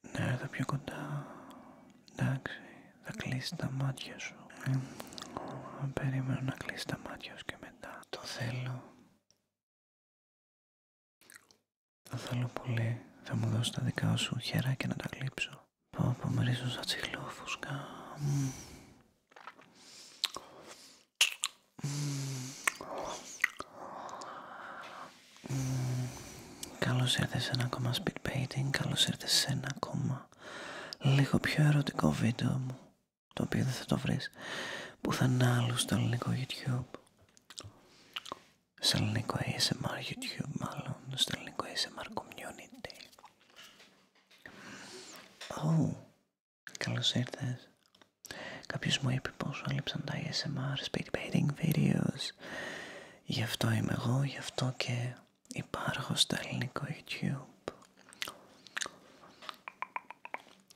Ναι, εδώ πιο κοντά. Εντάξει, θα κλείσει τα μάτια σου. Ε, περίμενα να κλείσει τα μάτια σου και μετά. Το θέλω. Το θέλω πολύ. Θα μου δώσει τα δικά σου και να τα κλείψω. Πάω από μερίζω σαν τσιλόφουσκα. Καλώ ήρθες σε ένα ακόμα speed painting, καλώ ήρθες σε ένα ακόμα λίγο πιο ερωτικό βίντεο μου το οποίο δεν θα το βρεις πουθενά άλλο στο ελληνικό YouTube Στο ελληνικό ASMR YouTube μάλλον, στο ελληνικό ASMR community Oh, καλώ ήρθε. Κάποιος μου είπε πόσο έλειψαν τα ASMR speed painting videos Γι' αυτό είμαι εγώ, γι' αυτό και υπάρχω στο ελληνικό YouTube.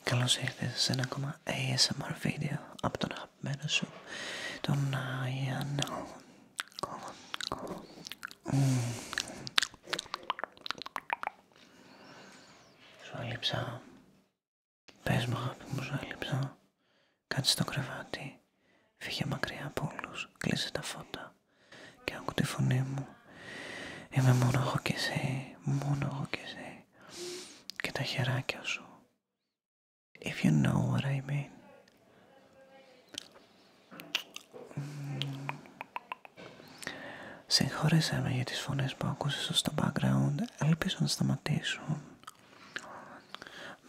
Καλώς ήρθες σε ένα ακόμα ASMR βίντεο από τον αγαπημένο σου, τον Ιαννό. Σου αλείψα. Πες μου αγάπη μου, σου Κάτσε στο κρεβάτι. Φύγε μακριά από όλους. Κλείσε τα φώτα. Και άκου τη φωνή μου. Είμαι μόνο εγώ και εσύ. Μόνο εγώ και εσύ. Και τα χεράκια σου. If you know what I mean. Συγχώρεσέ με για τις φωνές που άκουσες στο background. Ελπίζω να σταματήσουν.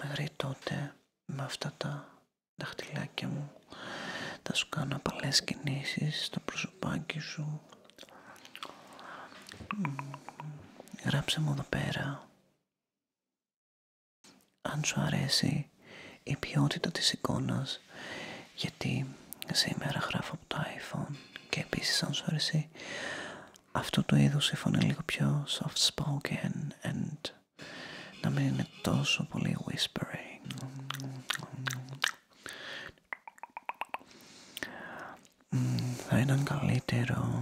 Μέχρι και τότε με αυτά τα δαχτυλάκια μου. Θα σου κάνω απαλές κινήσεις στο προσωπάκι σου. Γράψε μου εδώ πέρα. Αν σου αρέσει η ποιότητα της εικόνας, γιατί σήμερα γράφω από το iPhone και επίσης αν σου αρέσει αυτού το είδου η φωνή λίγο πιο soft spoken and να μην είναι τόσο πολύ whispering. Θα ήταν καλύτερο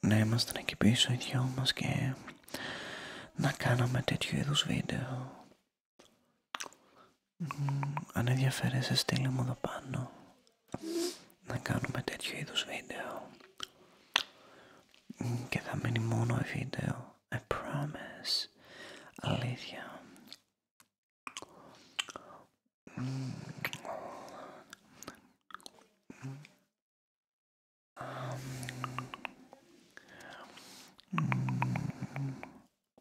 να είμαστε εκεί πίσω οι δυο μας και να κάναμε τέτοιου είδους βίντεο αν ενδιαφέρεσαι στείλε μου εδώ πάνω να κάνουμε τέτοιου είδους βίντεο και θα μείνει μόνο βίντεο I promise αλήθεια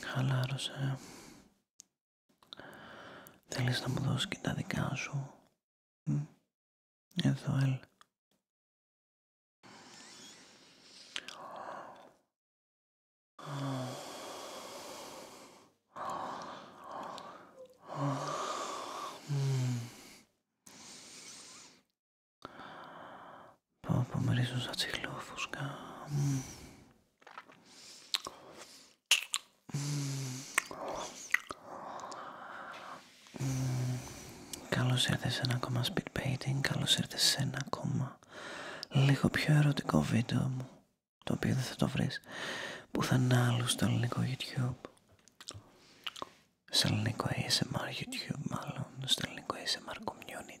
Χαλάρωσε. Θέλεις να μου δώσεις και τα δικά σου. Εδώ, Πω πω μυρίζουν σαν τσιχλόφουσκα. Καλώ ήρθε σε ένα ακόμα speed painting, καλώς ήρθες σε ένα ακόμα λίγο πιο ερωτικό βίντεο μου το οποίο δεν θα το βρεις πουθενά άλλο στο ελληνικό YouTube στο ελληνικό ASMR YouTube μάλλον, στο ελληνικό ASMR Community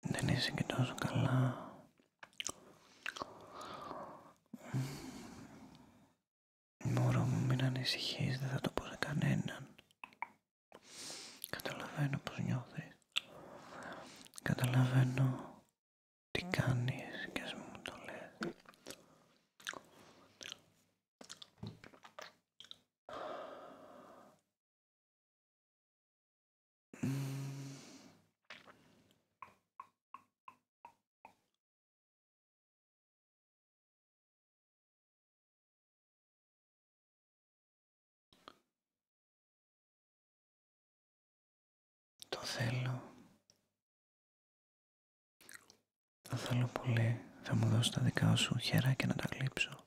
Δεν είσαι και τόσο καλά. Μωρό μου, μην ανησυχείς, δεν θα το πω σε κανέναν. Καταλαβαίνω πως νιώθεις. Καταλαβαίνω τι κάνεις και ας μου το λες. Το θέλω. Το θέλω πολύ. Θα μου δώσω τα δικά σου χέρα και να τα κλείψω.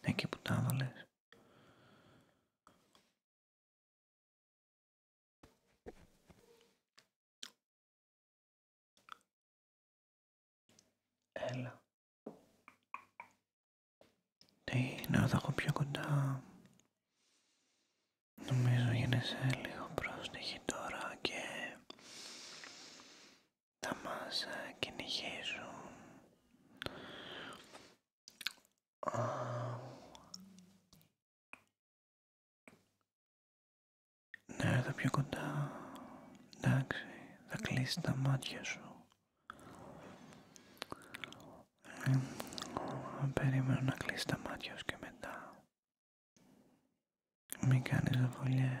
Εκεί που τα έβαλες. Έλα. Τι, να τα έχω πιο κοντά. Νομίζω σε λίγο πρόστιχη τώρα και τα μάσα και ε, κυνηγήσουν. Ναι, εδώ πιο κοντά. Εντάξει, θα κλείσει τα μάτια σου. Ε, περίμενα να κλείσει τα μάτια σου και μετά. Μην κάνεις δοβολιές.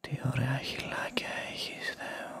Τι ωραία χιλάκια έχεις, Θεού.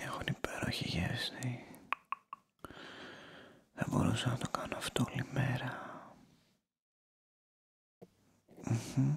Έχουν υπέροχη γεύση. Δεν μπορούσα να το κάνω αυτό όλη μέρα. Mm-hmm.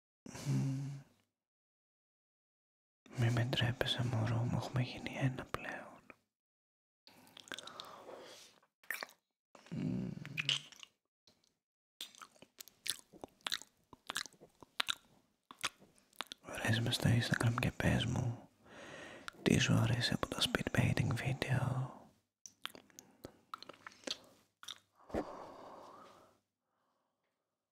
Μη με ντρέπεσαι μωρό μου, έχουμε γίνει ένα πλέον. Βρες με στο Instagram και πες μου τι σου αρέσει από τα speedbaiting video.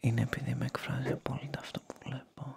Είναι επειδή με εκφράζει απόλυτα αυτό που βλέπω.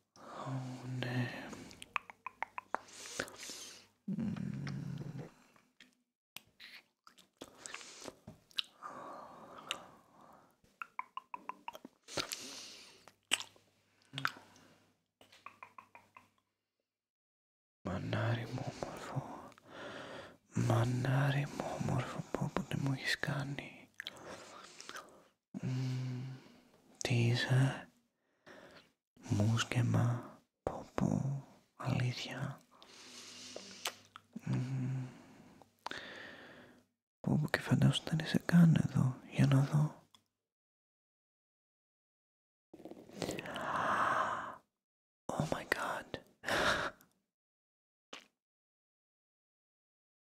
Oh Μανάρι μου όμορφο, μανάρι μου όμορφο που, που δεν μου έχεις κάνει. Τι είσαι. Μουσκεμα. Πω πω. Αλήθεια. Πω και φαντάσου δεν είσαι καν εδώ. Για να δω. Oh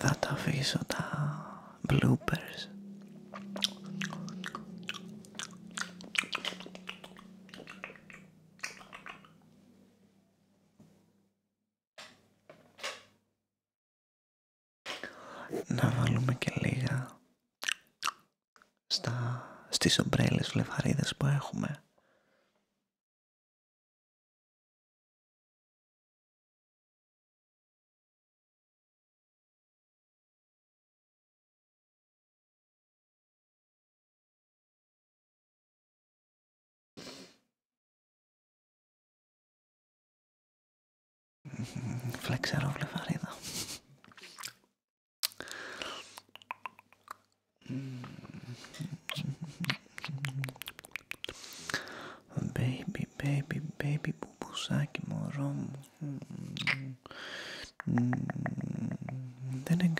Θα τα αφήσω τα μπλοπέρ. Να βάλουμε και λίγα στα, στις ομπρέλες βλεφαρίδες που έχουμε. Φλεξερό βλεφαρίδα. Baby, baby, baby, μπουμπουσάκι μωρό μου.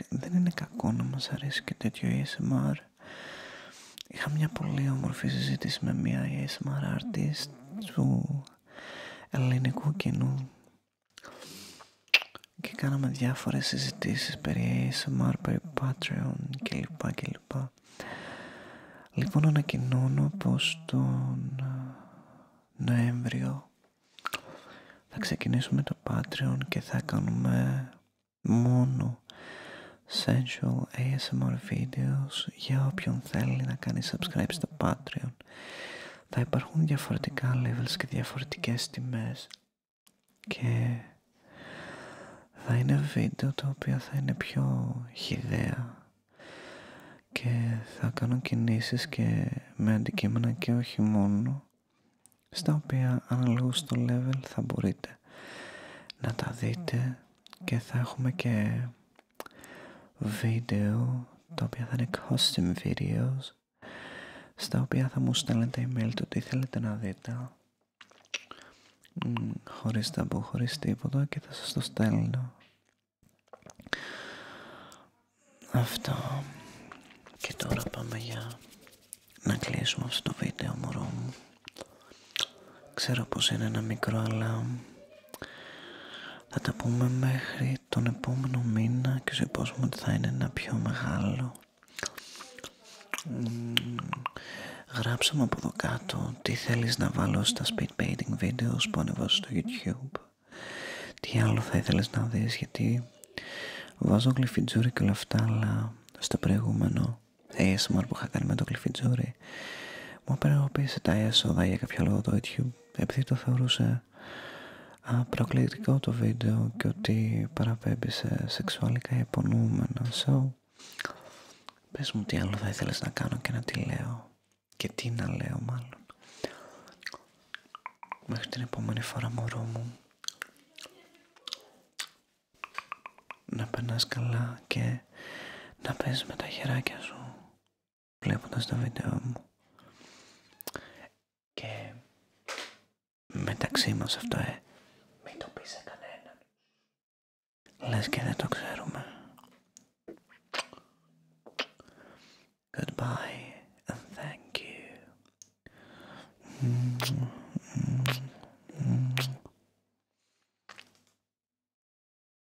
Δεν είναι, κακό να μας αρέσει και τέτοιο ASMR. Είχα μια πολύ όμορφη συζήτηση με μια ASMR artist του ελληνικού κοινού και κάναμε διάφορες συζητήσεις περί ASMR, περί Patreon κλπ. κλπ. Λοιπόν ανακοινώνω πως τον ε, Νοέμβριο θα ξεκινήσουμε το Patreon και θα κάνουμε μόνο sensual ASMR videos για όποιον θέλει να κάνει subscribe στο Patreon θα υπάρχουν διαφορετικά levels και διαφορετικές τιμές και θα είναι βίντεο τα οποία θα είναι πιο χιδέα και θα κάνω κινήσεις και με αντικείμενα και όχι μόνο στα οποία αναλόγω στο level θα μπορείτε να τα δείτε και θα έχουμε και βίντεο τα οποία θα είναι custom videos στα οποία θα μου στέλνετε email του, τι θέλετε να δείτε χωρίς ταμπού, χωρίς τίποτα και θα σας το στέλνω αυτό και τώρα πάμε για να κλείσουμε αυτό το βίντεο μωρό μου ξέρω πως είναι ένα μικρό αλλά θα τα πούμε μέχρι τον επόμενο μήνα και σου υπόσχομαι ότι θα είναι ένα πιο μεγάλο. Γράψαμε μου από εδώ κάτω τι θέλεις να βάλω στα speed painting videos που ανεβάζω στο YouTube. Τι άλλο θα ήθελες να δεις γιατί βάζω γλυφιτζούρι και όλα αυτά αλλά στο προηγούμενο ASMR που είχα κάνει με το γλυφιτζούρι μου απενεργοποίησε τα έσοδα για κάποιο λόγο το YouTube επειδή το θεωρούσε απροκλητικό το βίντεο και ότι παραπέμπει σε σεξουαλικά υπονοούμενα. So, πες μου τι άλλο θα ήθελες να κάνω και να τι λέω. Και τι να λέω μάλλον. Μέχρι την επόμενη φορά μωρό μου. Να περνάς καλά και να παίζεις με τα χεράκια σου βλέποντας το βίντεο μου και μεταξύ μας αυτό ε μην το πεις σε κανέναν λες και δεν το ξέρουμε Goodbye and thank you